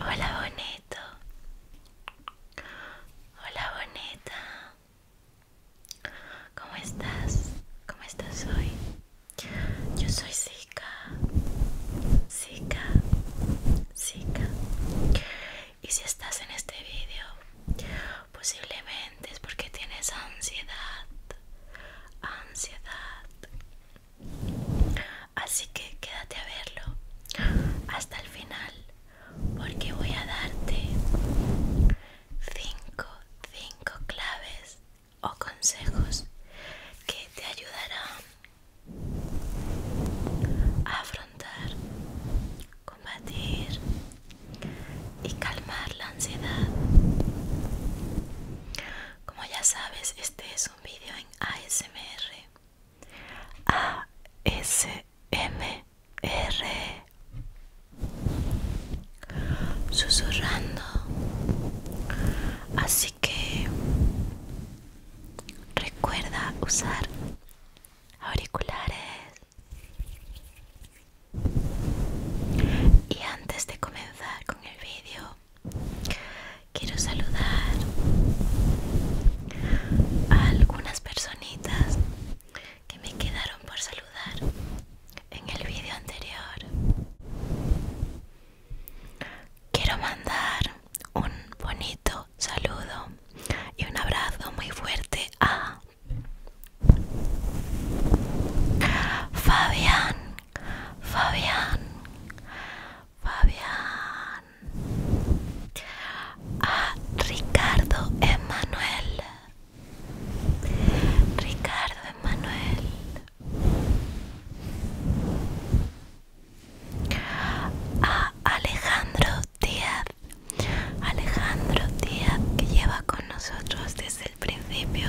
Hola bonito. Hola bonita. ¿Cómo estás? ¿Cómo estás hoy? Yo soy Zika. Zika. Zika. Y si estás en este vídeo, posiblemente es porque tienes ansiedad. Ansiedad. Así que quédate a verlo hasta el final porque voy a darte 5 5 claves o consejos que te ayudarán a afrontar, combatir y calmar la ansiedad. Como ya sabes, este es vídeo en ASMR ASMR susurrando así que recuerda usar auriculares y antes de comenzar con el vídeo Quiero saludar a algunas personitas que me quedaron por saludar en el vídeo anterior. Quiero mandar un bonito saludo y un abrazo muy fuerte a Fabián, Fabián, Fabián, a Ricardo Emanuel, Ricardo Emanuel, a Alejandro Díaz, Alejandro Díaz que lleva con nosotros desde el principio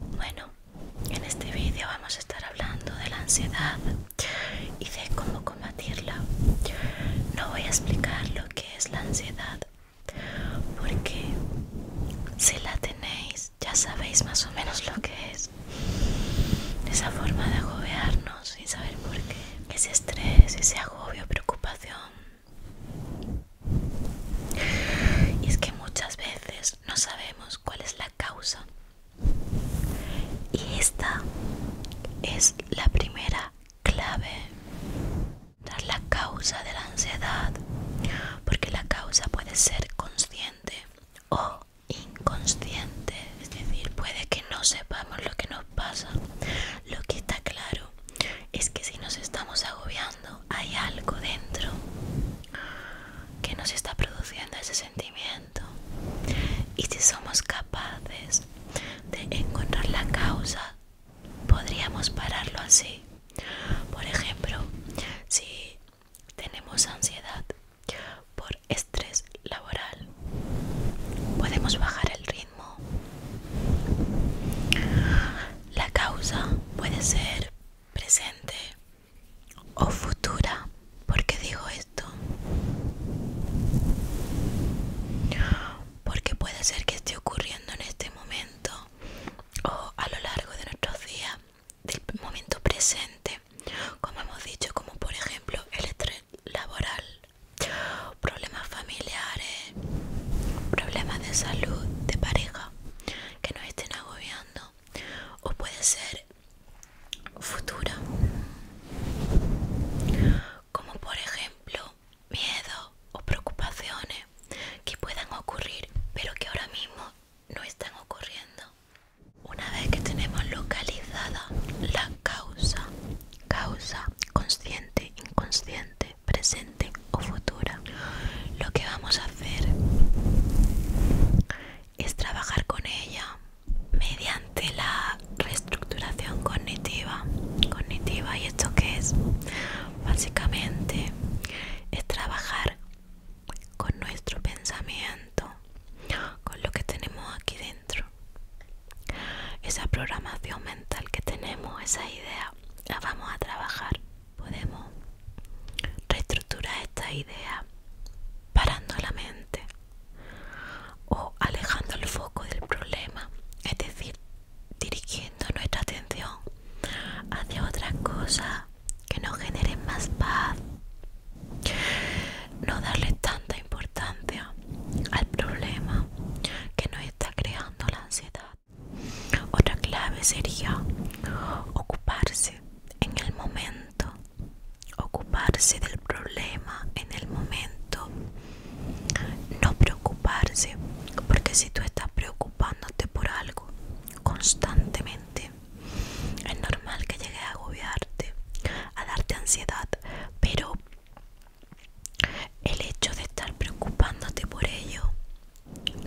bueno, en este vídeo vamos a estar hablando de la ansiedad y de cómo combatirla. No voy a explicar lo que es la ansiedad, porque si la tenéis ya sabéis más o menos lo que es. Esa forma de agobiarnos sin saber por qué. Ese estrés, ese agobio, preocupación y es que muchas veces no sabemos cuál es la causa. Y esta es la primera clave. la causa de la ansiedad. Porque la causa puede ser consciente o inconsciente. Es decir, puede que no sepamos lo que nos pasa. Lo que está claro es que si nos estamos agobiando hay algo dentro que nos está produciendo ese sentimiento y si somos capaces de encontrar la causa podríamos pararlo así por ejemplo si tenemos ansiedad por estrés laboral podemos bajar el ritmo la causa puede ser presente o futura. ¿Por qué digo esto? Porque puede ser que esté ocurriendo en este momento o a lo largo de nuestros días, del momento presente, como hemos dicho, como por ejemplo el estrés laboral problemas familiares, problemas de salud, de pareja que nos estén agobiando o puede ser futura como por ejemplo miedo o preocupaciones que puedan ocurrir pero que ahora mismo no están ocurriendo una vez que tenemos localizada la causa causa consciente, inconsciente, presente o futura. Lo que vamos a hacer es trabajar con ella mediante la reestructuración cognitiva. Cognitiva, ¿y esto qué es? Básicamente es trabajar con nuestro pensamiento, con lo que tenemos aquí dentro. Esa programación mental que tenemos, esa idea, la vamos a trabajar. Podemos reestructurar esta idea parando la mente o alejando el foco del problema, es decir, dirigiendo nuestra atención hacia otras cosas que nos generen más paz. No darle tanta importancia al problema que nos está creando la ansiedad. Otra clave sería ocuparse en el momento, ocuparse del problema en el momento, no preocuparse, porque si tú estás preocupándote por algo constantemente, es normal que llegue a agobiarte, a darte ansiedad, pero el hecho de estar preocupándote por ello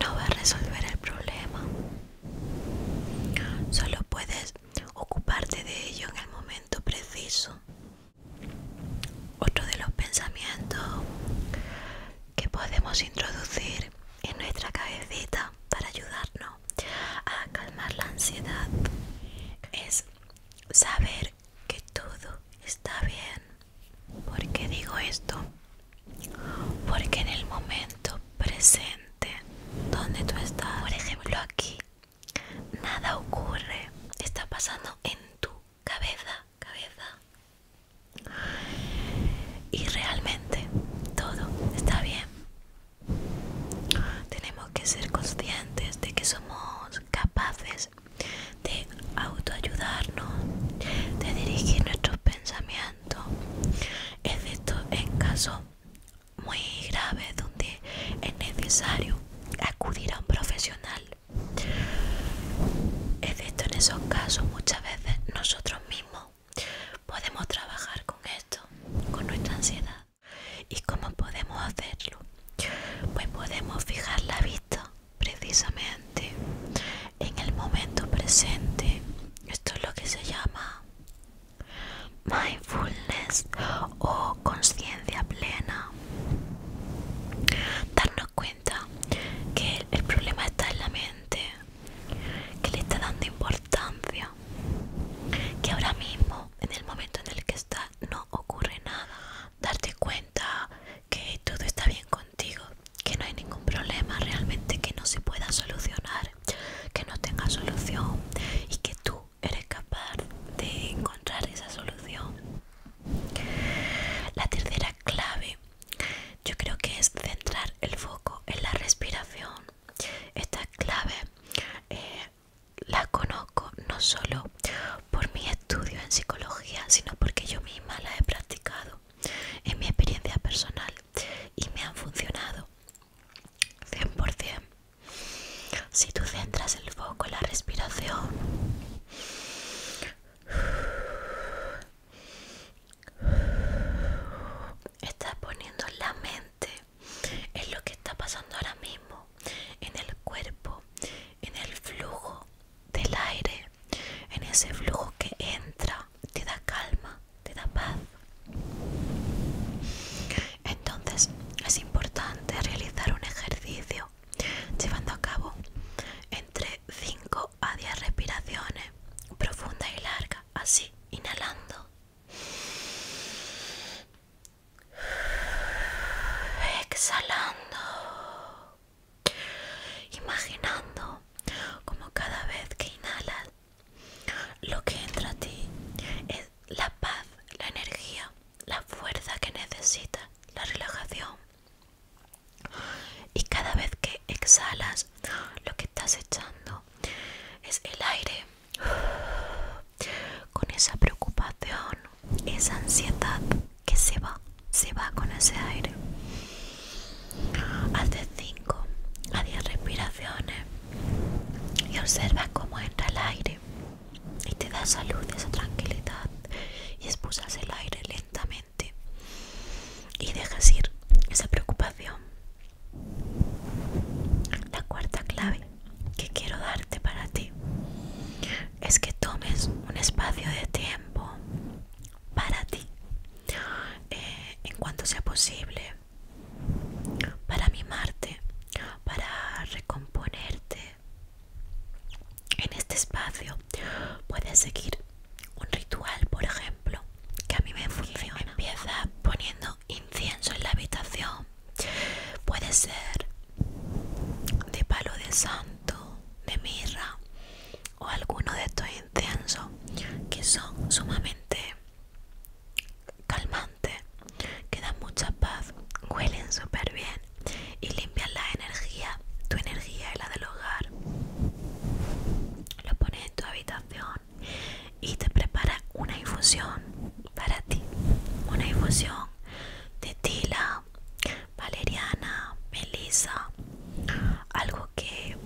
no va a resolver el problema. Solo puedes ocuparte de ello en el momento preciso. Otro de los pensamientos que podemos introducir en nuestra cabecita para ayudarnos a calmar la ansiedad es saber que todo está bien. ¿Por qué digo esto? Porque en el momento presente donde tú estás, por ejemplo aquí, nada ocurre. Está pasando en tu cabeza, cabeza. Y realmente todo está bien. Tenemos que ser conscientes de que somos capaces de autoayudarnos, de dirigir nuestros pensamientos, excepto en casos muy graves donde es necesario acudir a un profesional. Excepto en esos casos muchas veces nosotros mismos podemos trabajar con esto, con nuestra ansiedad. ¿Y cómo podemos hacerlo? Pues podemos fijar la vista precisamente en el momento presente. Esto es lo que se llama mindfulness o conciencia plena. Darnos cuenta que el, problema está en la mente, que le está dando importancia, que ahora mismo, en el momento en el que está, no ocurre nada, darte cuenta que todo está bien contigo, que no hay ningún problema realmente que no se pueda solucionar, que no tenga solución y que tú eres capaz de encontrar esa solución. La tercera clave yo creo que es centrar el foco en la respiración. Esta clave eh, la conozco no solo por mi estudio en psicología, sino porque yo misma la he practicado en mi experiencia personal y me han funcionado 100%. Si tú centras el foco en la respiración, estás poniendo la mente en lo que está pasando ahora mismo, en el cuerpo, en el flujo del aire, en ese flujo que entra, te da calma, te da paz. Entonces es importante realizar un ejercicio llevando a cabo entre 5 a 10 respiraciones profunda y larga, así, inhalando. Exhalando imaginando como cada vez que inhalas lo que entra a ti es la paz, la energía, la fuerza que necesitas, la relajación. Y cada vez que exhalas, lo que estás echando es el aire con esa preocupación, esa ansiedad que se va, se va con ese aire. Haz de 5 a 10 respiraciones y observa cómo entra el aire y te da salud, esa tranquilidad y expulsas el aire lentamente y dejas ir esa preocupación. La cuarta clave que quiero darte para ti es que tomes un espacio de tiempo para ti eh, en cuanto sea posible para mimarte para recomponerte en este espacio puedes seguir un ritual por ejemplo que a mí me funciona empieza poniendo incienso en la habitación puede ser de palo de santo de mirra o alguno de estos intensos que son sumamente calmantes, que dan mucha paz, huelen súper bien y limpian la energía, tu energía y la del hogar. Lo pones en tu habitación y te preparas una infusión para ti, una infusión de tila Valeriana, melisa, algo que,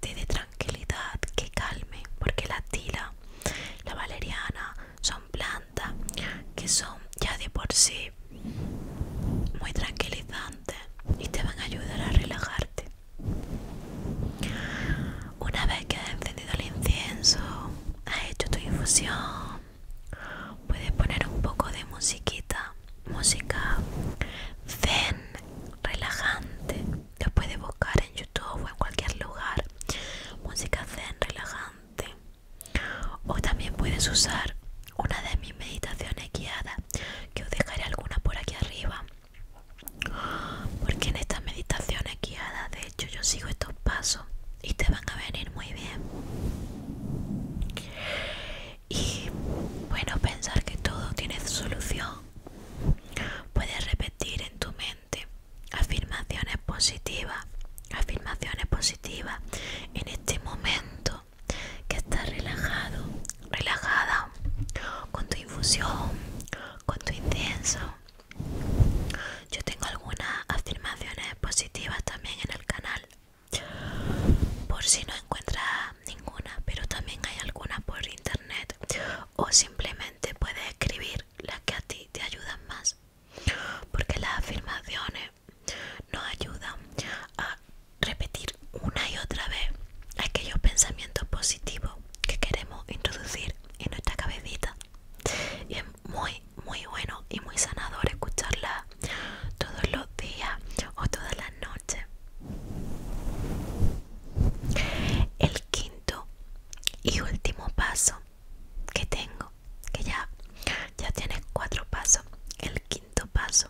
te dé tranquilidad, que calme, porque la tila, la valeriana son plantas que son ya de por sí muy tranquilizantes y te van a ayudar a relajarte. Una vez que has encendido el incienso, has hecho tu infusión, Puedes poner un poco de musiquita, música zen, relajante. Lo puedes buscar en YouTube o en cualquier lugar. Música zen, relajante. O también puedes usar una de mis meditaciones guiadas, que os dejaré alguna por aquí arriba. Porque en estas meditaciones guiadas, de hecho, yo sigo estos pasos y te van a venir muy bien. Y bueno, pensar que todo tiene solución. Puedes repetir en tu mente afirmaciones positivas, afirmaciones positivas en este momento que estás relajado, relajada, con tu infusión, con tu incienso. Yo tengo algunas afirmaciones positivas también en el canal por si no encuentra ninguna pero también hay algunas por internet o simplemente puedes escribir las que a ti te ayudan más porque las afirmaciones nos ayudan a repetir una y otra vez aquellos pensamientos positivos que queremos introducir en nuestra cabecita muy muy bueno y muy sanador escucharla todos los días o todas las noches el quinto y último paso que tengo que ya ya tienes cuatro pasos el quinto paso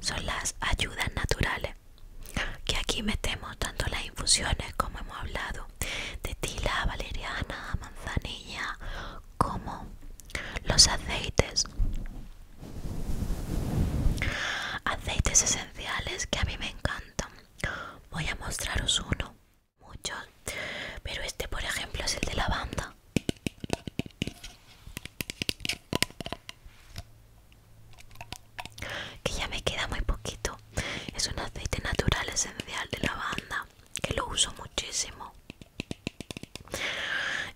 son las ayudas naturales que aquí metemos tanto las infusiones como hemos hablado de tila valeriana manzanilla como los aceites aceites esenciales que a mí me encantan voy a mostraros uno muchos pero este por ejemplo es el de lavanda que ya me queda muy poquito es un aceite natural esencial de lavanda que lo uso muchísimo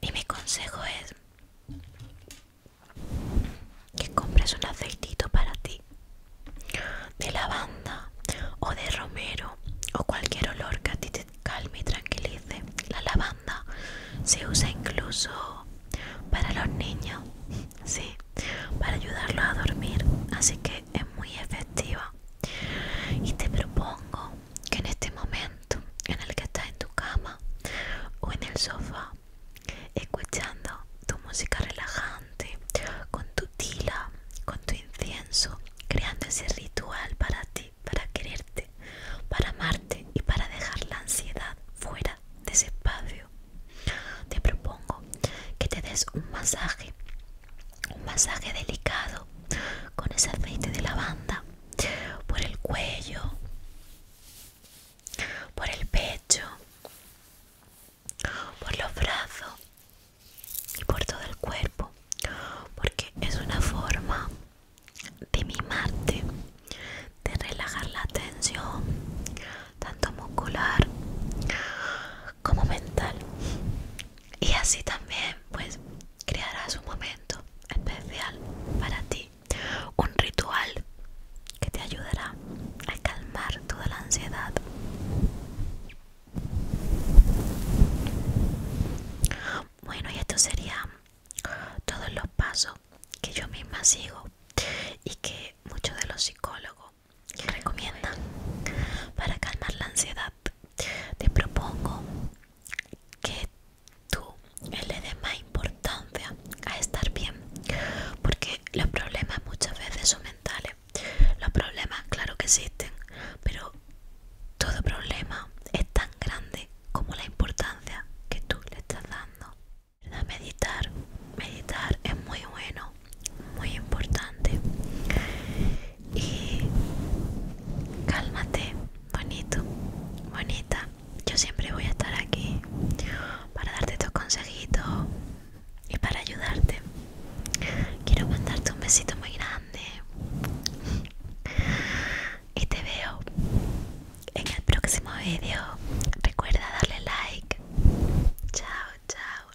y mi consejo es que compres un aceitito para ti de lavanda o de romero o cualquier olor que a ti te calme y tranquilice. La lavanda se usa incluso para los niños, para ayudarlos a dormir. Así que es muy efectiva y te propongo que en este momento en el que estás en tu cama o en el sofá escuchando tu música relajante con tu tila con tu incienso creando ese ritual para ti para quererte para amarte y para dejar la ansiedad fuera de ese espacio te propongo que te des un masaje un masaje delicado con ese aceite de lavanda por el cuello, por el pecho, por los brazos y por todo el cuerpo, porque es una forma de mimarte, de relajar la tensión, tanto muscular como mental y así también pues crearás un momento especial para ti un ritual que te ayudará a calmar toda la ansiedad bueno y esto serían todos los pasos que yo misma sigo y que muchos de los psicólogos recomiendan para calmar la ansiedad te propongo que tú le des más importancia a estar bien, porque los problemas muchas veces son mentales. Los problemas, claro que existen, pero todo problema es tan grande como la importancia que tú le estás dando. Meditar, meditar es muy bueno, muy importante y cálmate, bonito, bonita. Yo siempre voy a estar aquí para darte tus consejitos y para ayudarte. Quiero mandarte un besito muy grande y te veo en el próximo vídeo. Recuerda darle like. Chao, chao.